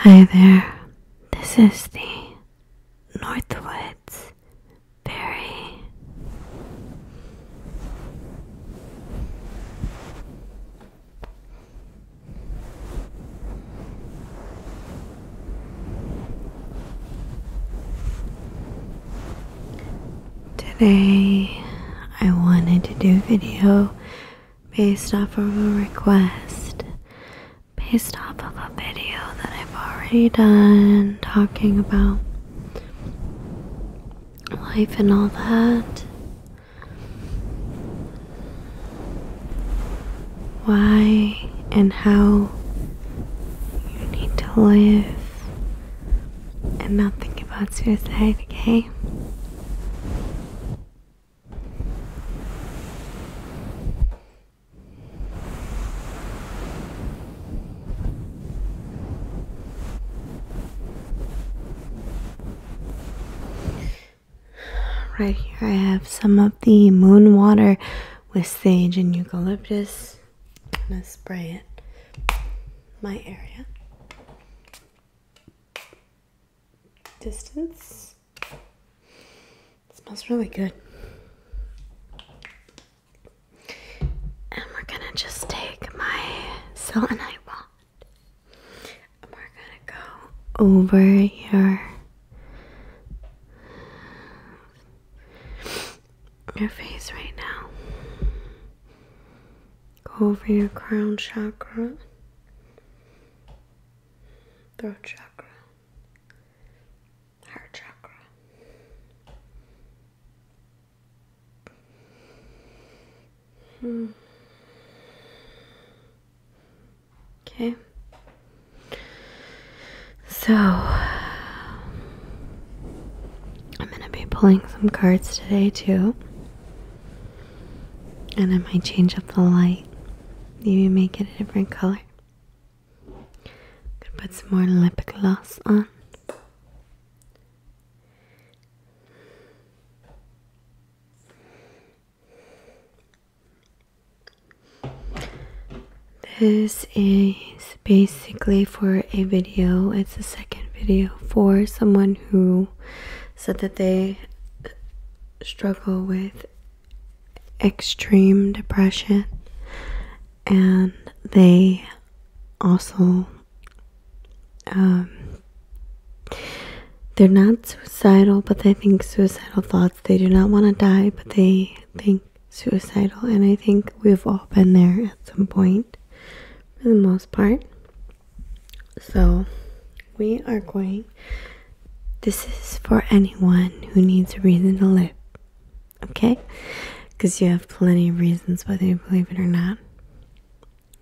Hi there, this is the Northwoods Berry. Today, I wanted to do a video based off of a request, based off of a video that I've already done talking about life and all that. Why and how you need to live and not think about suicide, okay? Right here, I have some of the moon water with sage and eucalyptus. I'm gonna spray it my area. Distance. smells really good. And we're gonna just take my selenite wand. And we're gonna go over your your face right now. Go over your crown chakra, throat chakra, heart chakra. Hmm. Okay. So I'm going to be pulling some cards today, too. And I might change up the light, maybe make it a different color. I'm going to put some more lip gloss on. This is basically for a video. It's the second video for someone who said that they struggle with extreme depression and they also um, they're not suicidal but they think suicidal thoughts they do not want to die but they think suicidal and i think we've all been there at some point for the most part. So, we are going. This is for anyone who needs a reason to live, okay? Because you have plenty of reasons, whether you believe it or not.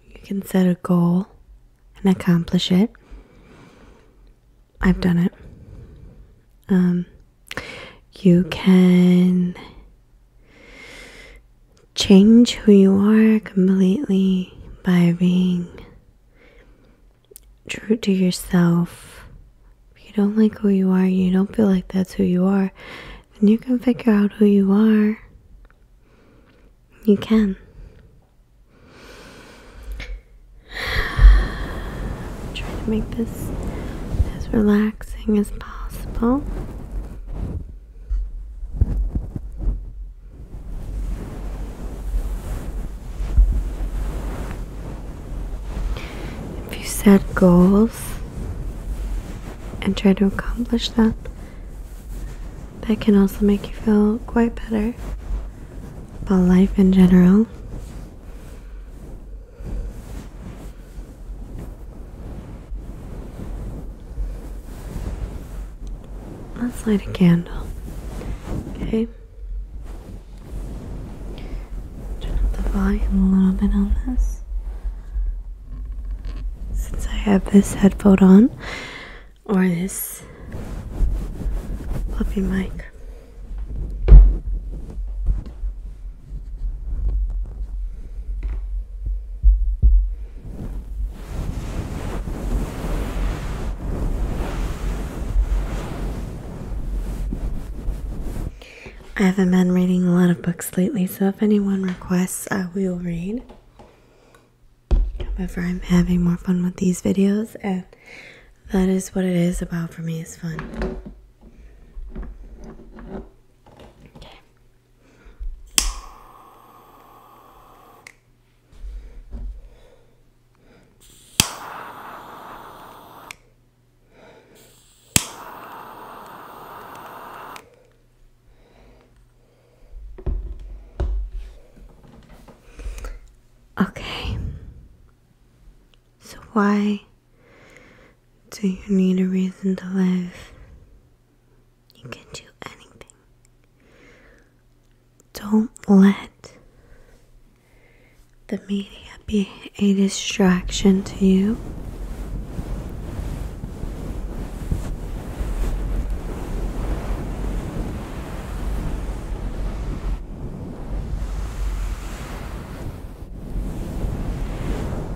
You can set a goal and accomplish it. I've done it. Um, you can change who you are completely by being true to yourself. If you don't like who you are, you don't feel like that's who you are, then you can figure out who you are. You can. I'm trying to make this as relaxing as possible. If you set goals and try to accomplish them, that can also make you feel quite better about life in general. Let's light a candle. Okay. Turn up the volume a little bit on this. Since I have this headphone on, or this puppy mic. I haven't been reading a lot of books lately, so if anyone requests, I will read. However, I'm having more fun with these videos, and that is what it is about for me is fun. Okay. Okay. So, why do you need a reason to live? You can do anything. Don't let the media be a distraction to you.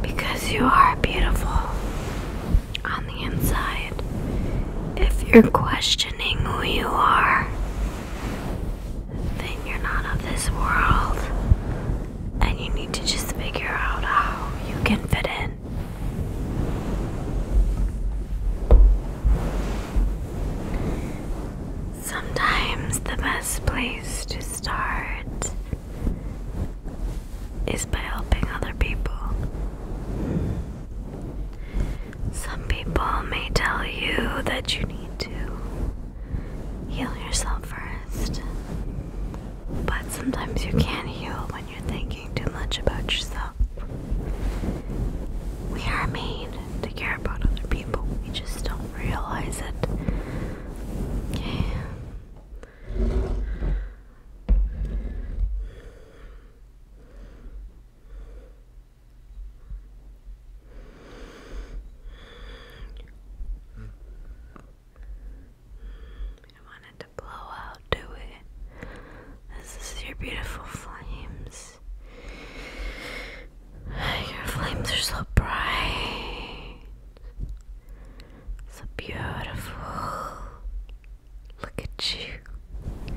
Because you are beautiful on the inside if you're questioning who you are then you're not of this world and you need to just figure out how you can fit in sometimes the best place to start is by helping other people. Some people may tell you that you need to heal yourself first, but sometimes you can't heal when you're thinking too much about yourself. We are made to care about other people, we just don't realize it don't to blow out, do it? This is your beautiful flames. Your flames are so bright. So beautiful. Look at you.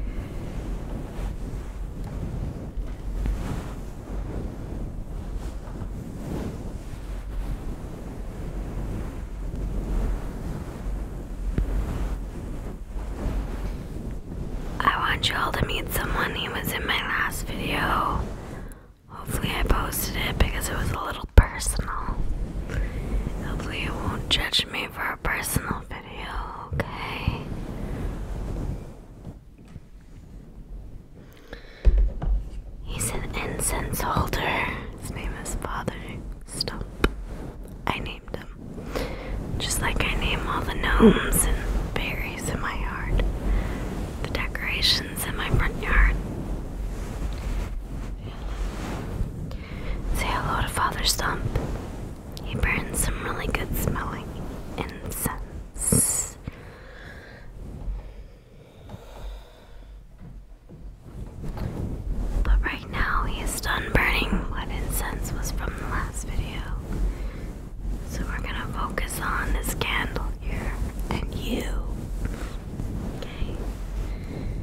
I want you all to meet someone who was in my last video. Hopefully, I posted it because it was a little personal. Hopefully, you won't judge me for a personal video, okay? He's an incense holder. His name is Father Stump. I named him. Just like I name all the gnomes and berries in my yard, the decorations in my front yard. Say hello to Father Stump. He burns some really good smelling incense. But right now he is done burning what incense was from the last video. So we're gonna focus on this candle here and you. Okay.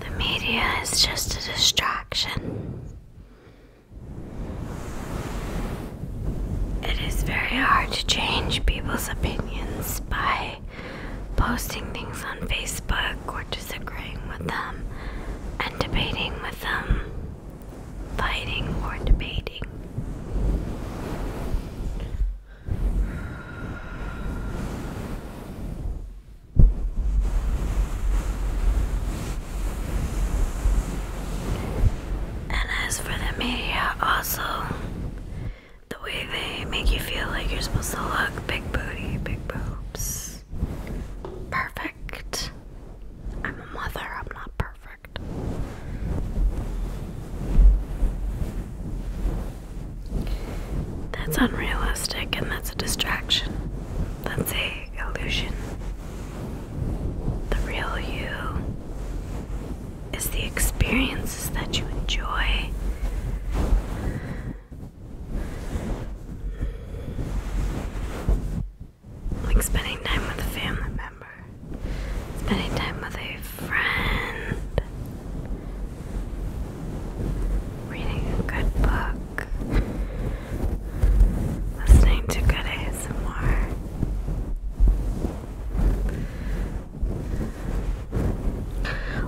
The media is just a distraction. It is very hard to change people's opinions by posting things on Facebook or disagreeing with them and debating with them, fighting or debating. And as for the media, also, the way they make you feel like you're supposed to look big booty, big boobs. Perfect. I'm a mother, I'm not perfect. That's unrealistic and that's a distraction. That's a illusion. The real you is the experiences that you enjoy. Like spending time with a family member, spending time with a friend, reading a good book, listening to good ASMR.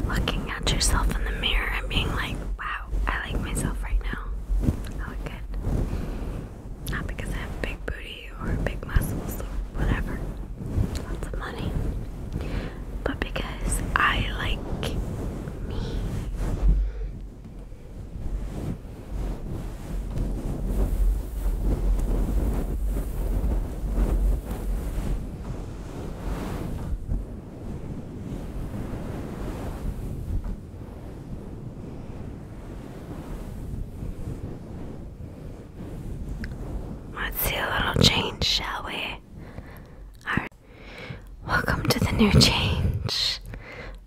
Looking at yourself in the mirror and being like, wow, I like myself right now. I look good. Not because I have big booty or big muscles or whatever. Lots of money but because I like me. Let's see a little change, shall we? Alright. Welcome to the new change.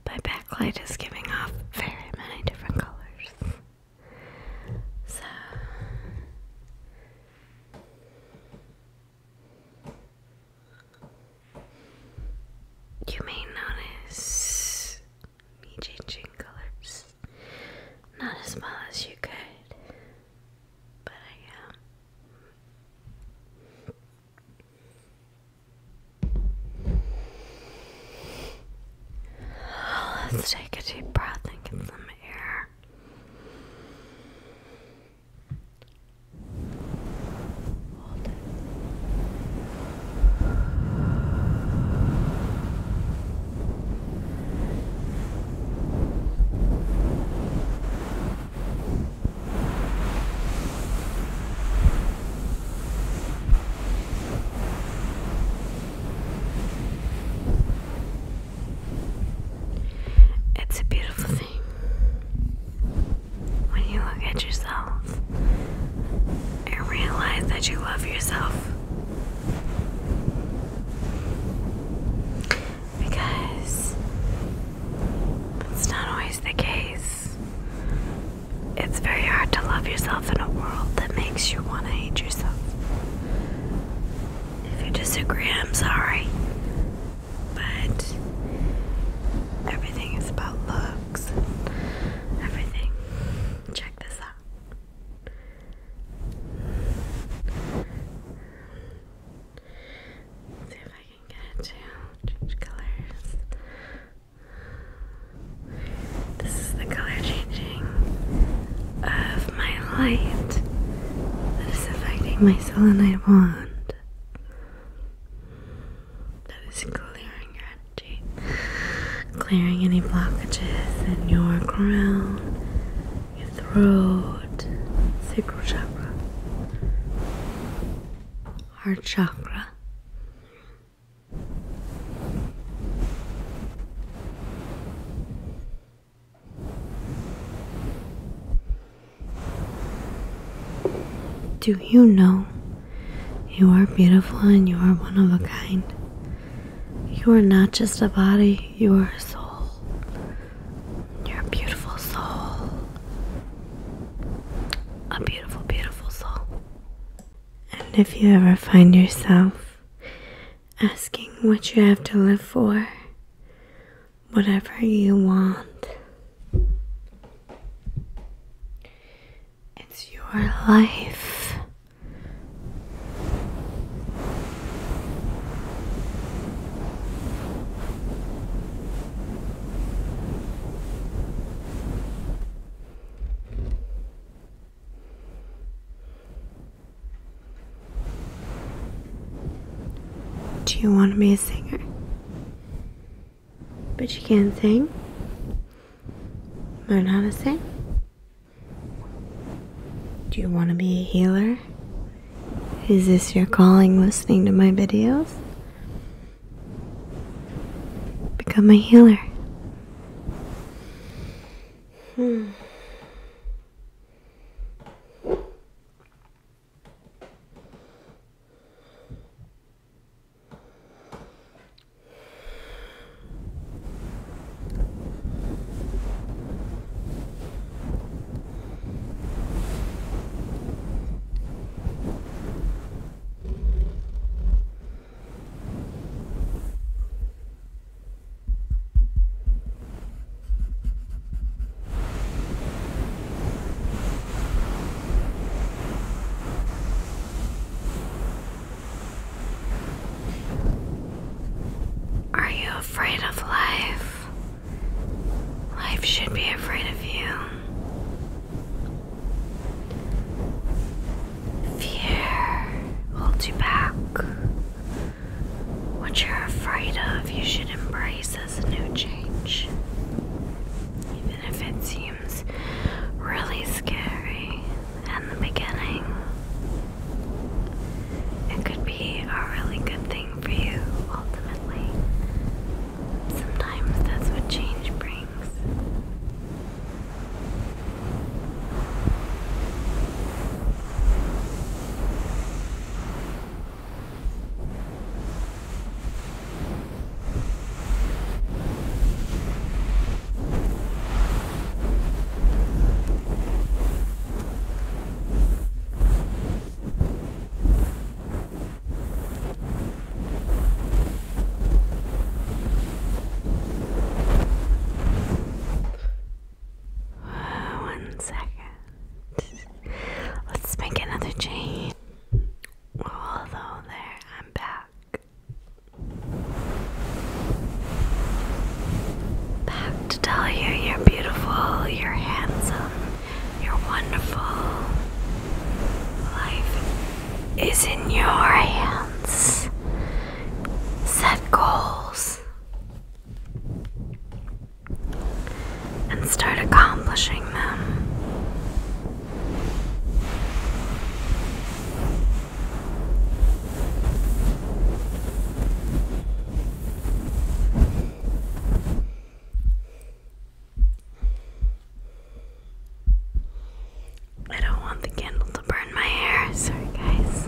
My backlight is giving off very many different colors. So. You may notice me changing colors. Not as well as you could. Uh, Let's take a deep breath and get some air. Hold it. It's a beautiful thing when you look at yourself and realize that you love yourself because that's not always the case. It's very hard to love yourself in a world that makes you want to hate yourself. If you disagree, I'm sorry. But everything is about looks everything. Check this out. See if I can get it to change colors. This is the color changing of my light that is affecting my selenite wand. That is clearing your energy, clearing any blockages in your crown, your throat, sacral chakra, heart chakra. Do you know you are beautiful and you are one of a kind? You are not just a body, you are a soul. Your beautiful soul. A beautiful, beautiful soul. And if you ever find yourself asking what you have to live for, whatever you want, it's your life. Do you want to be a singer? But you can't sing? Learn how to sing? Do you want to be a healer? Is this your calling listening to my videos? Become a healer. Hmm. Are you afraid of life? Life should be afraid of you. Fear holds you back. What you're afraid of, you should embrace as a new change. Even if it seems really scary in the beginning, it could be a really good thing for you Sometimes that's what change brings one second. Let's make another change. Although there, I'm back. Back to tell you you're beautiful, you're handsome, you're wonderful. Life is in your hands. Set goals and start accomplishing them. I don't want the candle to burn my hair. Sorry, guys.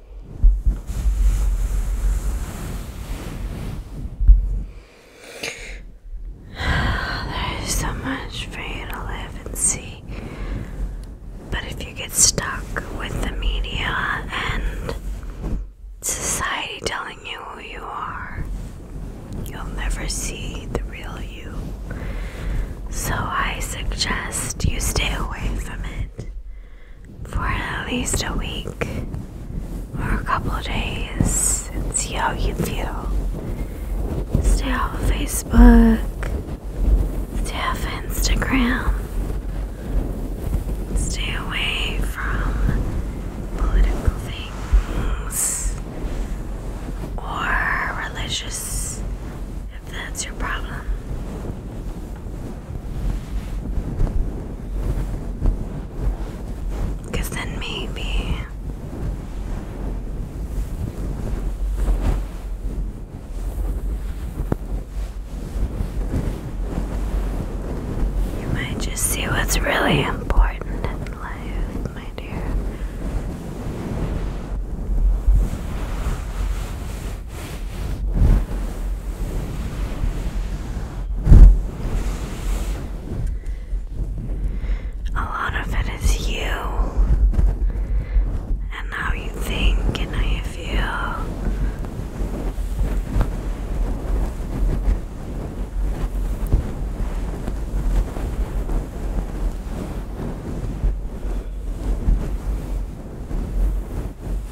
There is so much for you to live and see. But if you get stuck with the media and society telling you who you are, you'll never see the real you. So I suggest you stay away from it for at least a week or a couple of days and see how you feel. Stay off Facebook, stay off Instagram, stay away from political things or religious if that's your problem. Because then maybe you might just see what's really important in life, my dear. A lot of it is you and how you think and how you feel.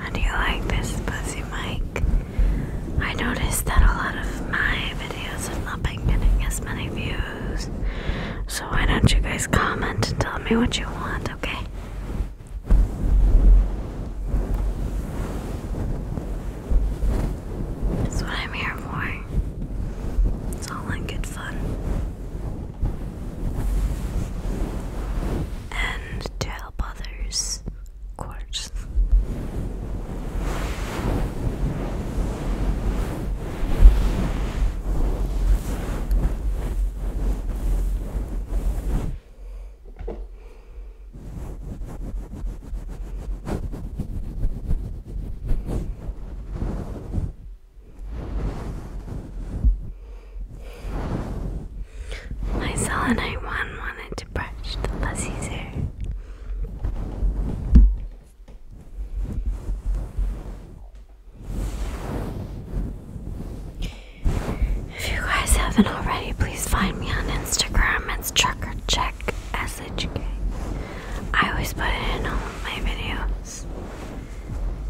How do you like this pussy mic? I noticed that a lot of my videos have not getting as many views. So why don't you guys comment and tell me what you want, okay? That's what I'm here for. It's all in good fun and to help others, of course. My selenite one wanted to brush the pussy's hair. If you guys haven't already, please find me on Instagram. It's trucker check SHK. always put it in all of my videos,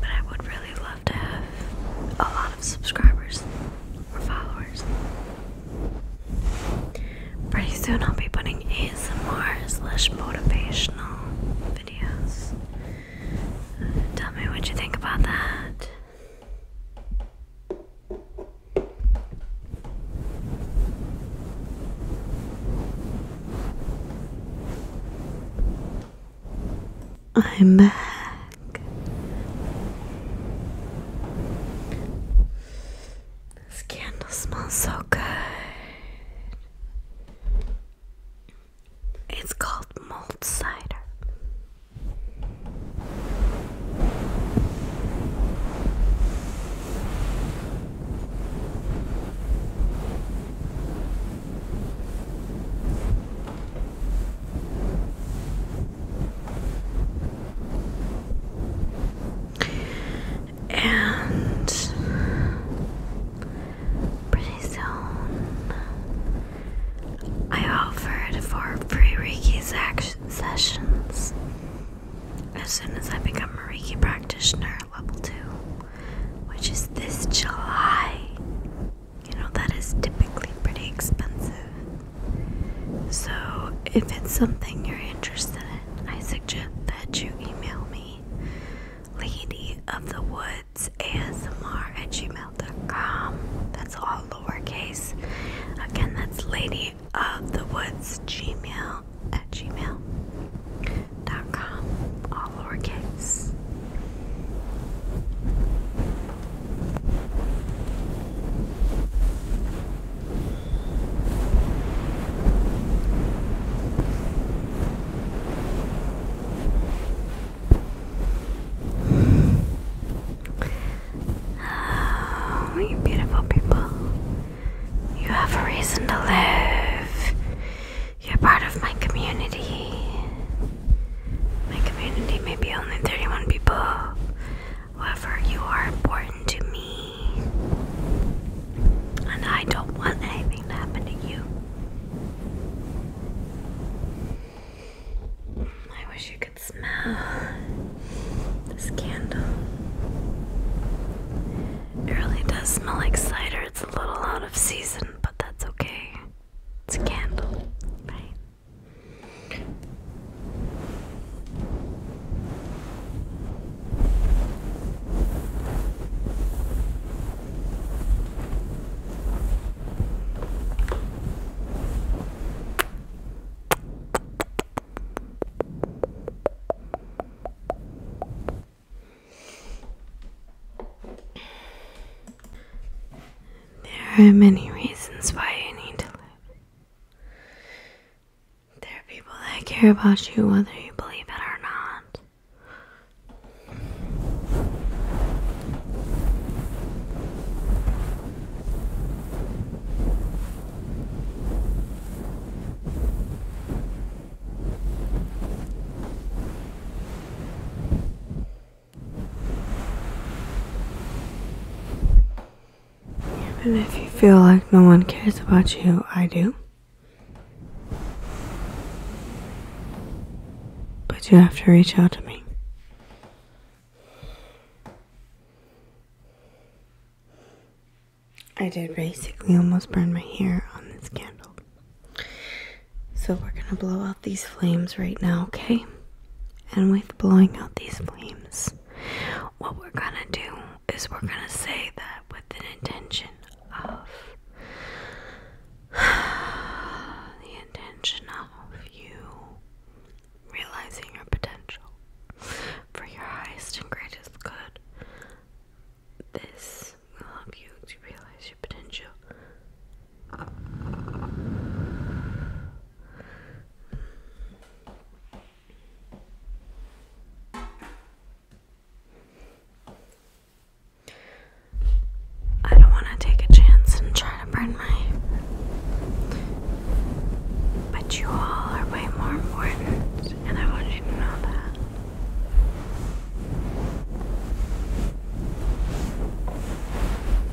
but I would really to have a lot of subscribers or followers. Pretty soon I'll be putting ASMR slash motivational videos. tell me what you think about that. I'm back. This candle smells so good. It's called malt cider. And pretty soon, I offered for free Reiki sessions as soon as I become a Reiki practitioner level 2, which is this July you know, that is typically pretty expensive. So, if it's something you're interested in, I suggest that you email me, Lady of the Woods ASMR at gmail.com. That's all lowercase. Again, that's Lady of the Woods Gmail at gmail.com, all lowercase. Oh, you beautiful people. You have a reason to live. You're part of my community. My community may be only 31 people. However, you are important to me. And I don't want anything to happen to you. I wish you could smell this candle. It really does smell like cider. It's a little out of season, but that's okay. It's a candle, right? There are many reasons why you need to live. There are people that care about you whether you believe it or not. Even if you feel like no one cares about you, I do. But you have to reach out to me. I did basically almost burn my hair on this candle. So we're going to blow out these flames right now, okay? And with blowing out these flames, what we're going to do is we're going to say that with an intention of the intention of you realizing your potential for your highest and greatest good. This will help you to realize your potential I don't want to take a chance and try to burn my. But you all are way more important, and I want you to know that.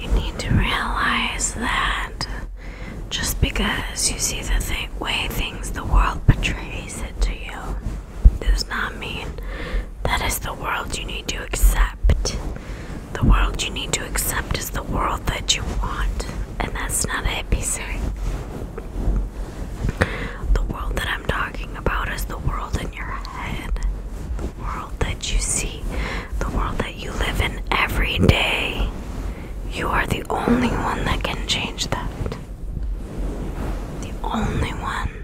You need to realize that just because you see the way things the world portrays it to you does not mean that is the world you need to accept. The world you need to accept is the world that you want, and that's not a hippie saying. The world that I'm talking about is the world in your head, the world that you see, the world that you live in every day. You are the only one that can change that. The only one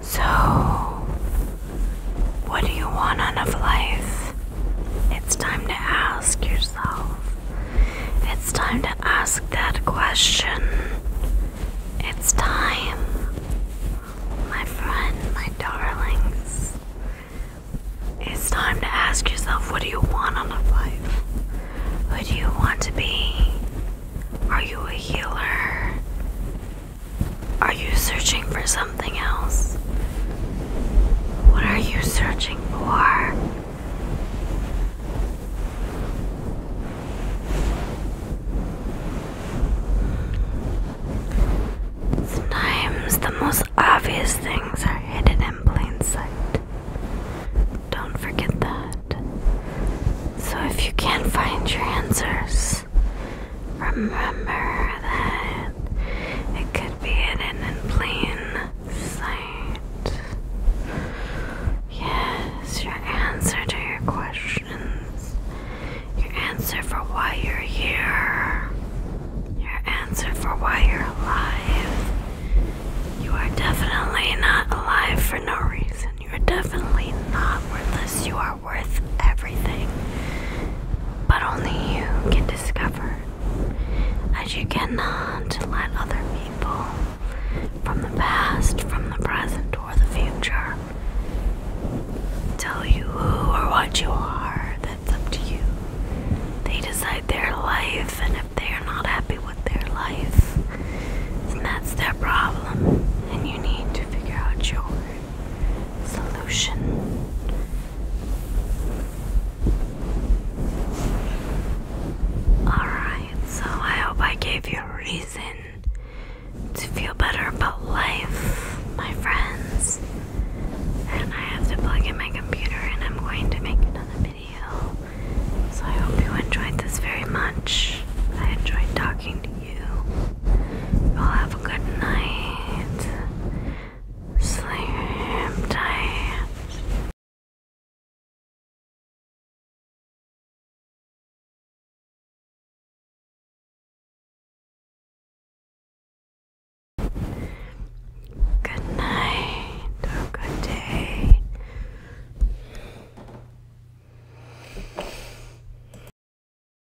So, what do you want out of life? It's time to ask yourself. It's time to ask that question. It's time, my friend, my darlings. It's time to ask yourself what do you want out of life? Who do you want to be? Are you a healer? Are you searching for something else? What are you searching for? Sometimes the most obvious things are hidden in plain sight. Don't forget that. So if you can't find your answers, remember that it could be hidden in plain sight. Yes, your answer to your questions, your answer for why you're here, your answer for why you're alive. You are definitely not alive for no reason. You are definitely not worthless. You are are worth everything, but only you can discover, as you cannot let other people from the past, from the present, or the future tell you who or what you are. That's up to you. They decide their life, and if they are not happy with their life, then that's their problem, and you need to figure out yours solution. Alright, so I hope I gave you a reason to feel better about life, my friends. And I have to plug in my computer and I'm going to make another video. So I hope you enjoyed this very much. I enjoyed talking to you. Well, have a good night. Sleep tight. Good night or good day.